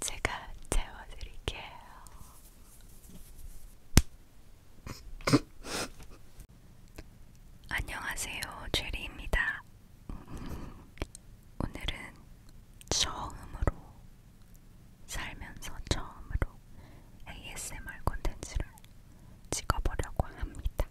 제가 채워드릴게요. 안녕하세요, 죄리입니다. 오늘은 처음으로 살면서 처음으로 ASMR 콘텐츠를 찍어보려고 합니다.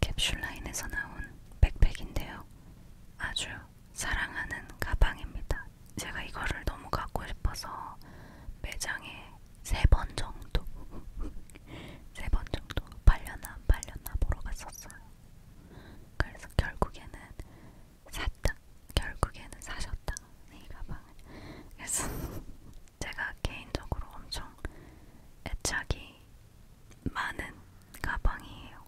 캡슐라인에서 나온 백팩인데요. 아주 사랑하는 가방입니다. 제가 이거를 너무 갖고 싶어서 매장에 세 번 정도, 세 번 정도 팔려나 안 팔려나 보러 갔었어요. 그래서 결국에는 샀다. 결국에는 사셨다. 이 가방을. 그래서 제가 개인적으로 엄청 애착이 많은 가방이에요.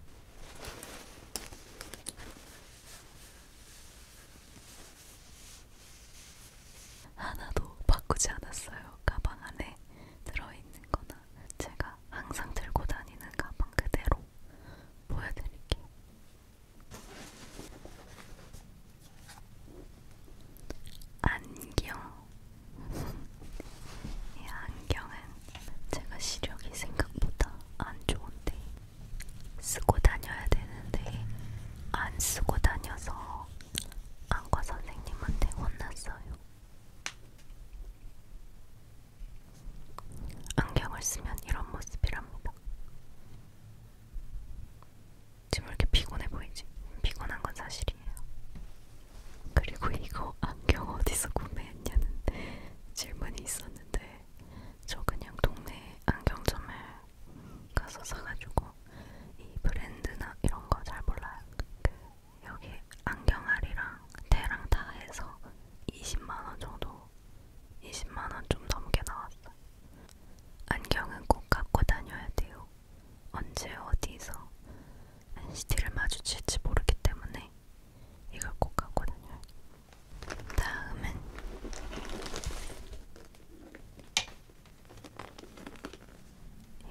하나도 바꾸지 않았어요. 가방 안에 들어있는 거나 제가 항상 들고 다니는 가방 그대로 보여드릴게요. 안경 이 안경은 제가 시력이 생각보다 안 좋은데 쓰고 다녀야 되는데 안 쓰고 다녀서 안과 선생님한테 혼났어요. 안경을 쓰면 이런 모습이랍니다. 지금 이렇게 피곤해 보이지? 피곤한 건 사실이에요. 그리고 이거 안경 어디서 구매했냐는 질문이 있었는데 저 그냥 동네 안경점에 가서 사가지고 이 브랜드나 이런 거 잘 몰라요. 그 여기 안경알이랑 대랑 다 해서 20만원 정도 20만원 좀 넘게 나왔어요. 안경은 꼭 갖고 다녀야 돼요. 언제 어디서 NCT를 마주칠지 모르기 때문에 이걸 꼭 하거든요. 다음은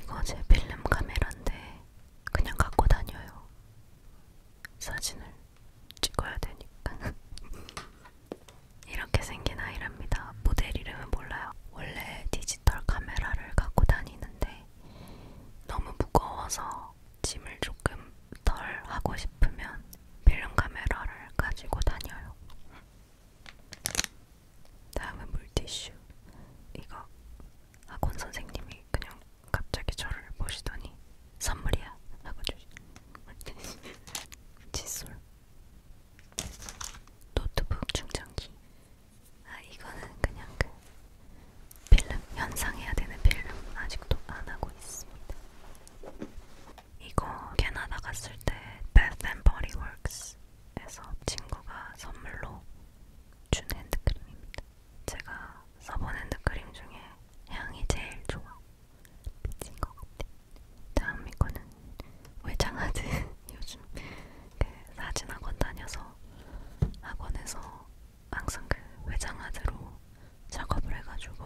이거 제 필름 카메라인데 그냥 갖고 다녀요. 사진을 찍어야 되니까. 이렇게 생긴 아이랍니다. 모델 이름은 몰라요. 원래 디지 디지털 카메라를 갖고 다니는데 너무 무거워서 짐을 조금 덜 하고 싶으면 필름 카메라를 가지고 다녀요. 다음은 물티슈. 이거 학원 선생님이 그냥 갑자기 저를 보시더니 선물이야 하고 주신 칫솔. 노트북 충전기. 아 이거는 그냥 그 필름 연상해야 되는 필름 아직도 안 하고 있습니다. 이거 캐나다 갔을 때 Bath and Body Works에서 친구가 선물로 준 핸드크림입니다. 제가 써본 핸드크림 중에 향이 제일 좋아. 미친 것 같아. 다음 이거는 외장하드 요즘 그 사진학원 다녀서 학원에서 항상 그 외장하드로 작업을 해가지고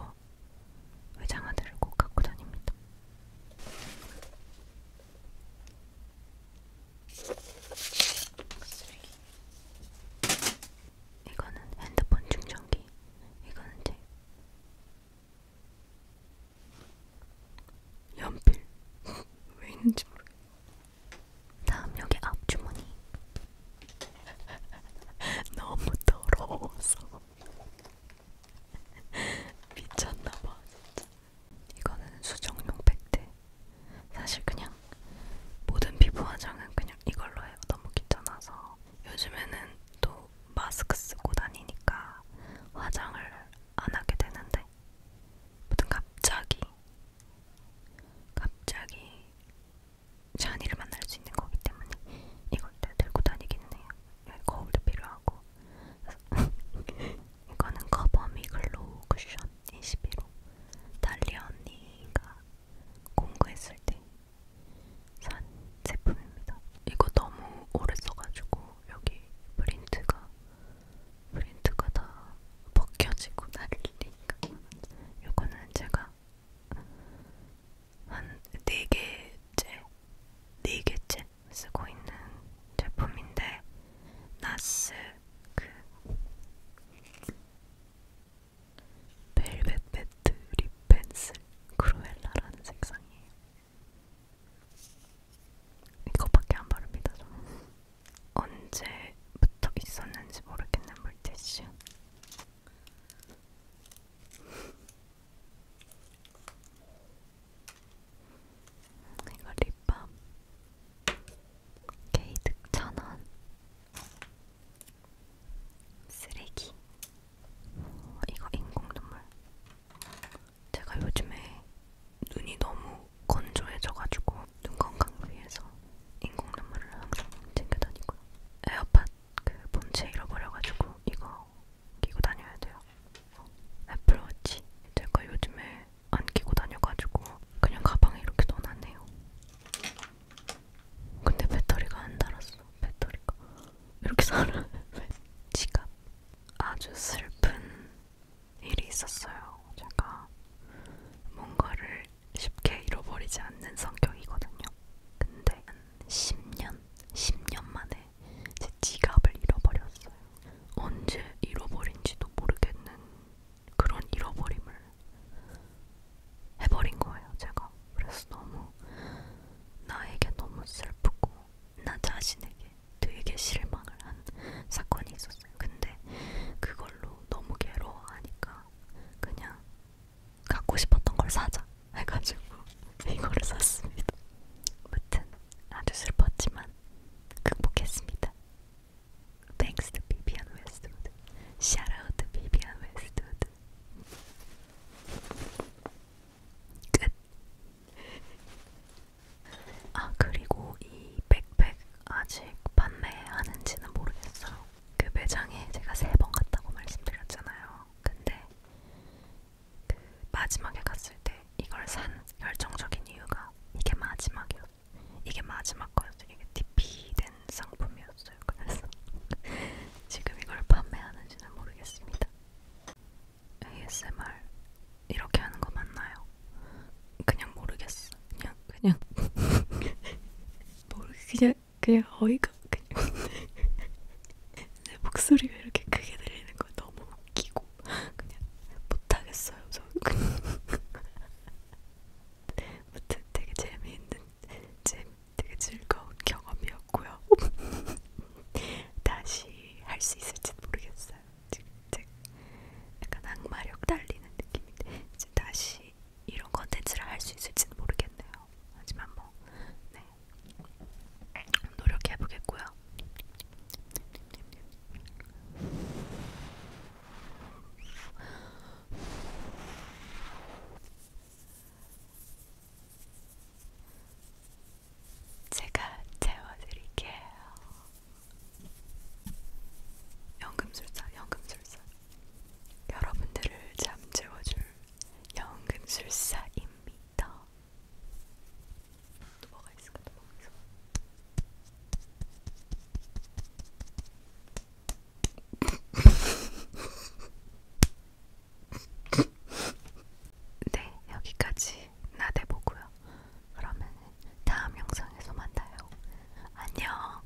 외장하드를 꼭 갖고 다닙니다. 쓰레기. 이거는 핸드폰 충전기. 이거는 제 연필. 왜 있는지 모르겠어. 다음 여기 앞주머니 너무 더러워서 미쳤나봐 진짜 이거는 수정용 팩트 사실 그냥 모든 피부 화장은 그냥 이걸로 해요 너무 귀찮아서 요즘에는 또 마스크 쓰고 다니니까 화장을 안 하게 되는데 무튼 갑자기 갑자기 샤니를 만날 수 있는 거기 때문에 이걸 다 들고 다니기는 해요. 여기 네, 거울도 필요하고. 이거는 커버미 글로우 쿠션 21호. 달리아 언니가 공구했을 때 산 제품입니다. 이거 너무 오래 써가지고 여기 프린트가 프린트가 다 벗겨지고 난리니까 요거는 제가 한 4개째 4개째 쓰고 있는 제품인데 나스 그 벨벳 매트 립 펜슬 크루엘라라는 색상이에요. 이거밖에 안 바릅니다, 저는. 언제부터 있었는지 모르겠는 물티슈. 이거 립밤 케이득 천원 쓰레기 어, 이거 인공 눈물 제가 요즘에 눈이 너무 건조해져가지고 눈 건강을 위해서 인공 눈물을 항상 챙겨 다니고요. 에어팟 그 본체 잃어버려가지고 이거 끼고 다녀야 돼요. 애플워치 제가 요즘에 안 끼고 다녀가지고 그냥 가방에 이렇게 넣어놨네요. 근데 배터리가 안 달았어. 배터리가 이렇게 살아. 지갑 아주 슬픈 일이 있었어요. 제가 뭔가를 쉽게 잃어버리지 않는 성격이거든요. 근데 한 10년, 10년 만에 제 지갑을 잃어버렸어요. 언제 잃어버린지도 모르겠는 그런 잃어버림을 해버린 거예요, 제가. 그래서 너무 나에게 너무 슬프고 나 자신에게 되게 실망을 한 사건이 있었어요. 근데 그걸로 너무 괴로워하니까 그냥 갖고 싶었던 걸 사자 해가지고 이거를 샀습니다. 무튼 아주 슬펐지만 극복했습니다. Thanks to Vivian Westwood. Shout out to Vivian Westwood. 끝. 아 그리고 이 백팩 아직 판매하는지는 모르겠어요. 그 매장에 제가 세 번 갔다고 말씀드렸잖아요. 근데 그 마지막에 갔을 때 이걸 산 결정적인 이유가 이게 마지막이었. 이게 마지막 거였어요. 이게 DP된 상품이었어요. 그래서 지금 이걸 판매하는지는 모르겠습니다. ASMR 이렇게 하는 거 맞나요? 그냥 모르겠어. 그냥 그냥 모르 뭐, 그냥 그냥 어이가 그냥 내 목소리 왜 이렇게 크게 들리는 거야? 너무 웃기고 그냥 못하겠어요. 저 그냥 무튼 되게 재미있는 재 되게 즐거운 경험이었고요. 다시 할 수 있을지 모르겠어요. 있어요. 칙칙. 약간 악마력 달리는 느낌인데 이제 다시 이런 컨텐츠를 할 수 있을지는 모르겠네요. 하지만 뭐 네. 노력해 보겠고요. 제가 채워드릴게요. 연금술사, 연금술사. 여러분들을 잠재워줄 연금술사입니다. 또 뭐가 있을까? 또 뭐가 있을까? 네, 여기까지 나대보고요. 그러면 다음 영상에서 만나요. 안녕.